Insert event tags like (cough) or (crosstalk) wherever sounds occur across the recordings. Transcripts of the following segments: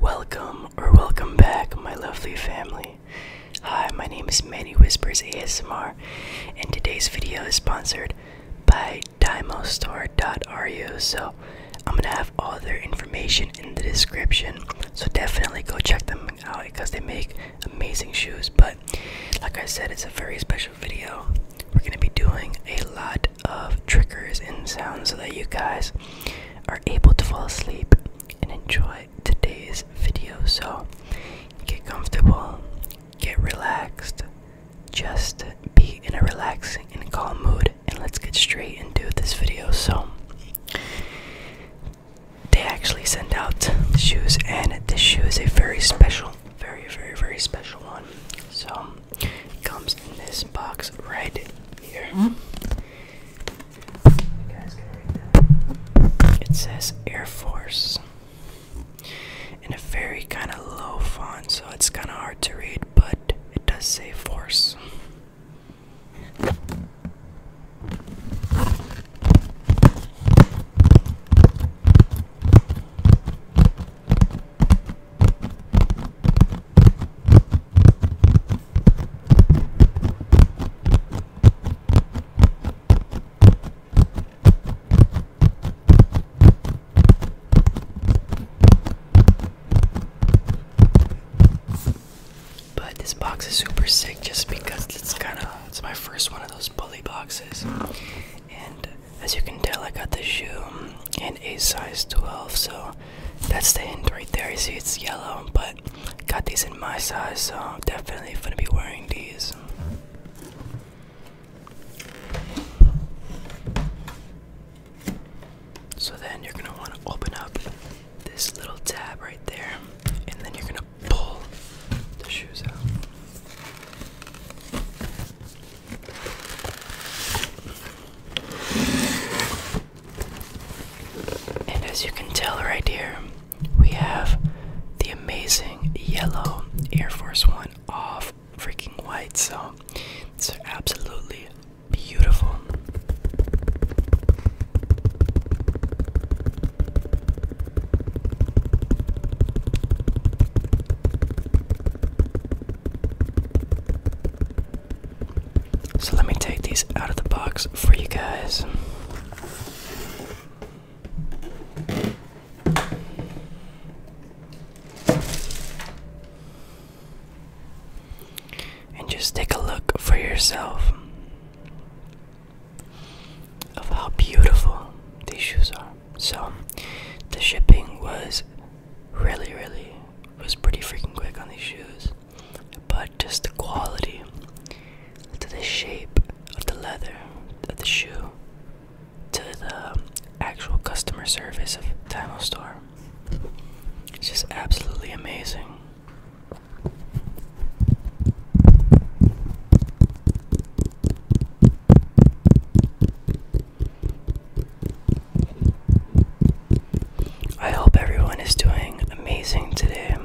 Welcome or welcome back, my lovely family. Hi, my name is Manny Whispers ASMR, and today's video is sponsored by DimoStore.ru. So I'm gonna have all their information in the description. So definitely go check them out because they make amazing shoes. But like I said, it's a very special video. We're gonna be doing a lot of triggers and sounds so that you guys are able to fall asleep and enjoy today's video. So get comfortable, get relaxed, just be in a relaxing and calm mood, and let's get straight into this video. So they actually sent out shoes, and this shoe is a very special, very, very, very special one. So it comes in this box right here. Hmm? It says Air Force in a very kind of low font, so it's kind of hard to read, but it does say force. But this box is super sick just because it's kind of it's my first one of those bully boxes. And as you can tell, I got the shoe in a size 12, so that's the end right there. You see, it's yellow, but got these in my size, so I'm definitely gonna be wearing these. So then you're gonna want to open up this little tab right there, and then you're gonna pull the shoes out. And as you can tell right here, we have the amazing yellow Air Force One off freaking white. So it's absolutely beautiful. So let me take these out of the box for you guys. And just take a look for yourself of how beautiful these shoes are. So, the shipping was really, really was pretty freaking quick on these shoes. But just the quality to the shape of the leather of the shoe to the actual customer service of Timo Store. It's just absolutely amazing. I hope everyone is doing amazing today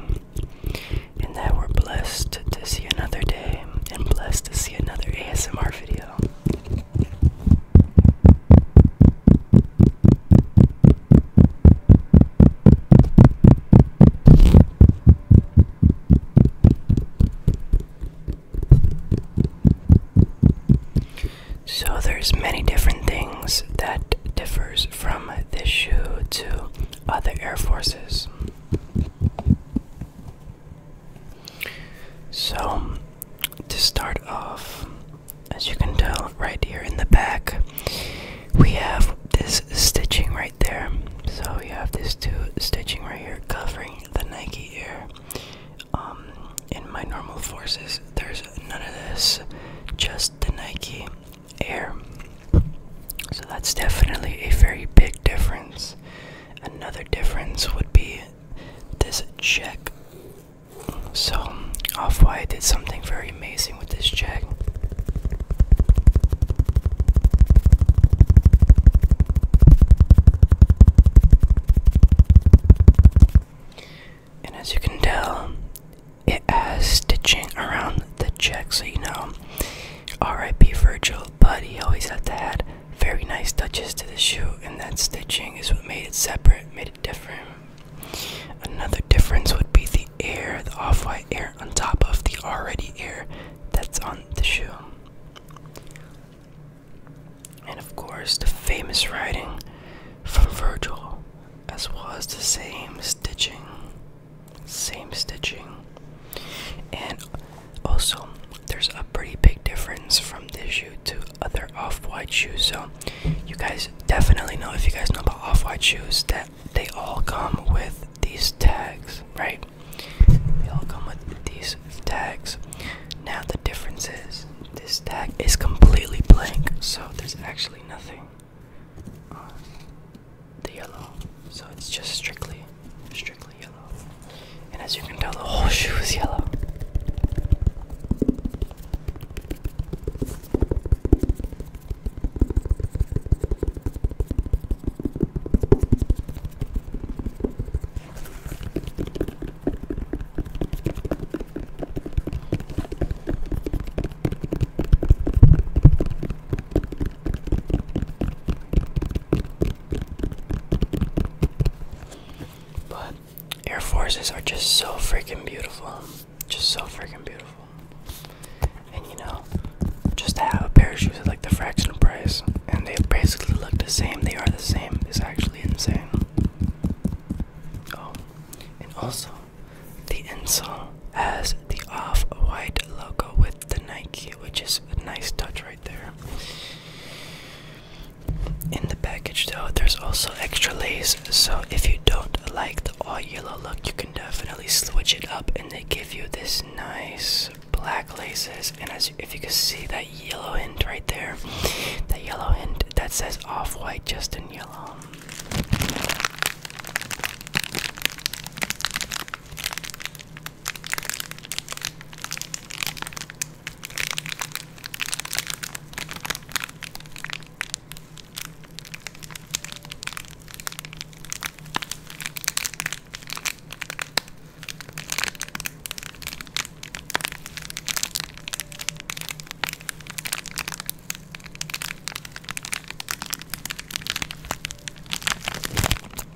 and that we're blessed to see another day and blessed to see another ASMR video. So there's many different things that differs from this shoe to other Air Forces. So to start off, as you can tell right here in the back, we have this stitching right there. So we have this two stitching right here covering the Nike Air. Um, in my normal forces, there's none of this, just the Nike Air. So that's definitely a very big difference. Another difference would be this check. So, Off White did something very amazing with this check. And as you can tell, it has stitching around the check, so you know. R.I.P. Virgil, but he always had to add very nice touches to the shoe, and that stitching is what made it separate, made it different. Another difference would be the air, the off white air on top of the already air that's on the shoe. And of course, the famous writing from Virgil, as well as the same stitching, same stitching. And also, there's a pretty big difference from this shoe to other off white shoes. So, you guys definitely know if you guys know about off white shoes that they all come with these tags, right? They all come with these tags. Now the difference is this tag is completely blank, so there's actually nothing on the yellow. So it's just strictly, strictly yellow. And as you can tell, the whole shoe is yellow. But Air Forces are just so freaking beautiful. Just so freaking beautiful. And you know, just to have a pair of shoes at like the fraction of price, and they basically look the same, they are the same, It's actually insane. Oh, and also, the insole has the off white logo with the Nike, which is a nice touch right there. In the package, though, there's also extra lace, so if you don't like the all yellow look, you can definitely switch it up and they give you this nice black laces and as if you can see that yellow hint right there that yellow hint that says off-white just in yellow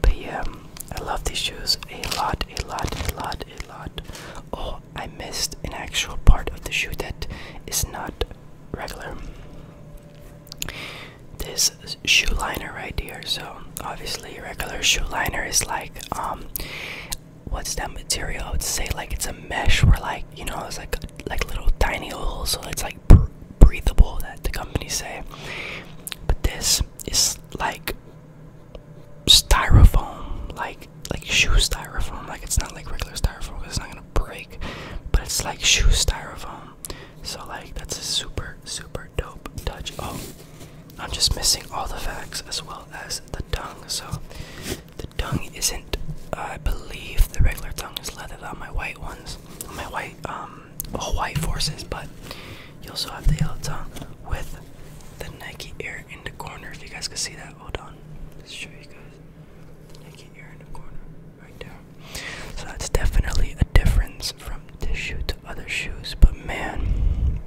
but yeah, I love these shoes a lot, a lot, a lot, a lot. Oh, I missed an actual part of the shoe that is not regular this shoe liner right here. So obviously regular shoe liner is like um, what's that material? I would say like it's a mesh where like you know it's like like little tiny holes so it's like breathable that the company say. But this is like styrofoam like like shoe styrofoam like it's not like regular styrofoam it's not break, but it's like shoe styrofoam. So like that's a super super dope touch. Oh, I'm just missing all the facts as well as the tongue. So the tongue isn't. Uh, I believe the regular tongue is leather. on my white ones, my white um white forces, but you also have the yellow tongue with the Nike Air in the corner. If you guys can see that, hold on. Let's show you guys. So that's definitely a difference from this shoe to other shoes. But man,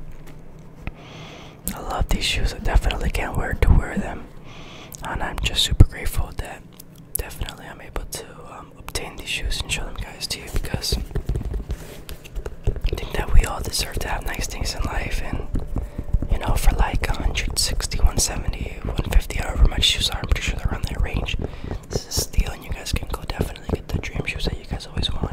I love these shoes. I definitely can't wait to wear them, and I'm just super grateful that definitely I'm able to um, obtain these shoes and show them guys to you because I think that we all deserve to have nice things in life and. You know, for like 160, 170, 150, however much shoes are. I'm pretty sure they're on that range. This is a and you guys can go definitely get the dream shoes that you guys always wanted.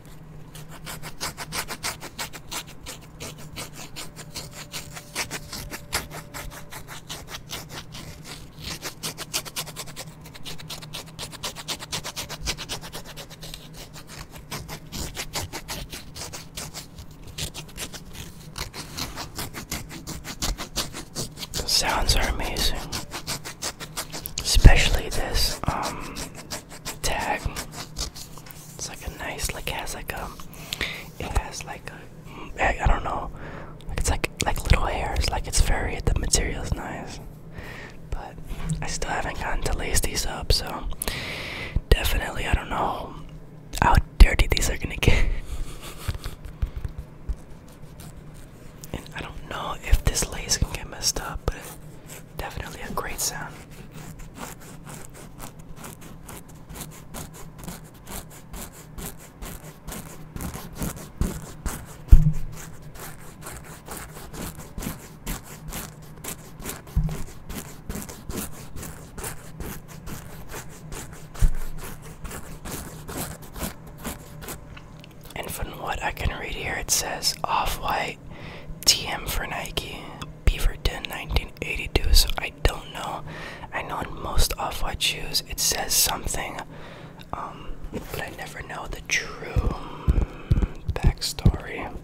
The sounds are amazing, especially this um, tag. It's like a nice, like has like a, it has like a, I, I don't know, it's like like little hairs. Like it's very, the material's nice, but I still haven't gotten to lace these up. So definitely, I don't know how dirty these are gonna get. (laughs) And I don't know if this lace can get messed up, but Definitely a great sound. And from what I can read here, it says Off White TM for Nike, Beaverton 1982. So I don't know. I know in most Off White shoes it says something, um, but I never know the true mm, backstory of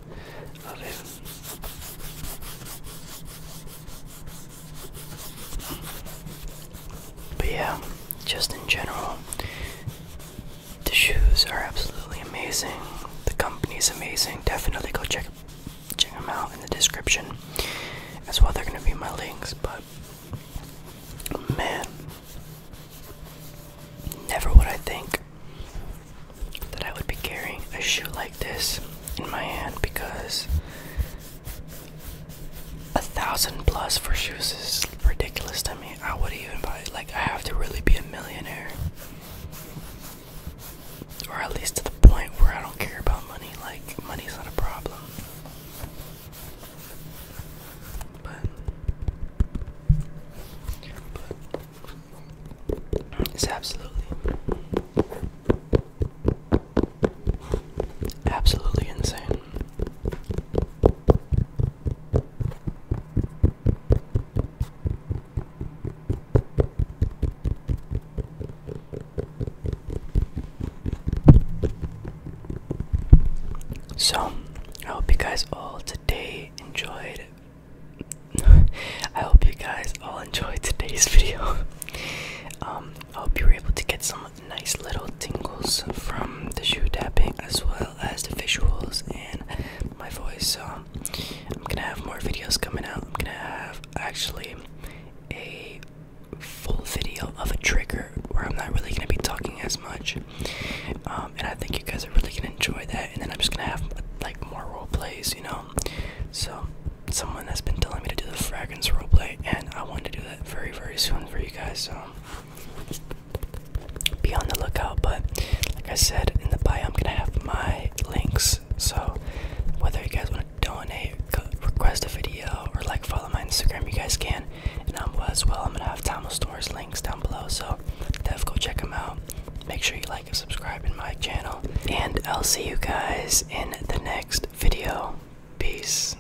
it. But yeah, just in general, the shoes are absolutely amazing. The company's amazing. Definitely go check check them out in the description. As well, they're gonna be my links. But man, never would I think that I would be carrying a shoe like this in my hand because a thousand plus for shoes is ridiculous. I mean, I would even buy it. Like, I have to really be a millionaire. Or at least to the point where I don't care about money. Like, money's not a problem. but it's absolutely. Absolutely insane. So, I hope you guys all today enjoyed. (laughs) I hope you guys all enjoyed today's (laughs) video. um, I hope you were able to get some nice little tingles from the shoe tapping as well as the visuals and my voice. So I'm gonna have more videos coming out. I'm gonna have actually a full video of a trigger where I'm not really gonna be talking as much. Um, and I think you guys are really gonna enjoy that. And then I'm just gonna have like more role plays, you know. So someone has been telling me to do the fragrance play, and I want to do that very very soon for you guys so be on the lookout. But like I said in the bio, I'm gonna have my links. So whether you guys want to donate, request a video, or like follow my Instagram, you guys can. And I'm as well. I'm gonna have Tamil Store's links down below. So def go check them out. Make sure you like and subscribe in my channel. And I'll see you guys in the next video. Peace.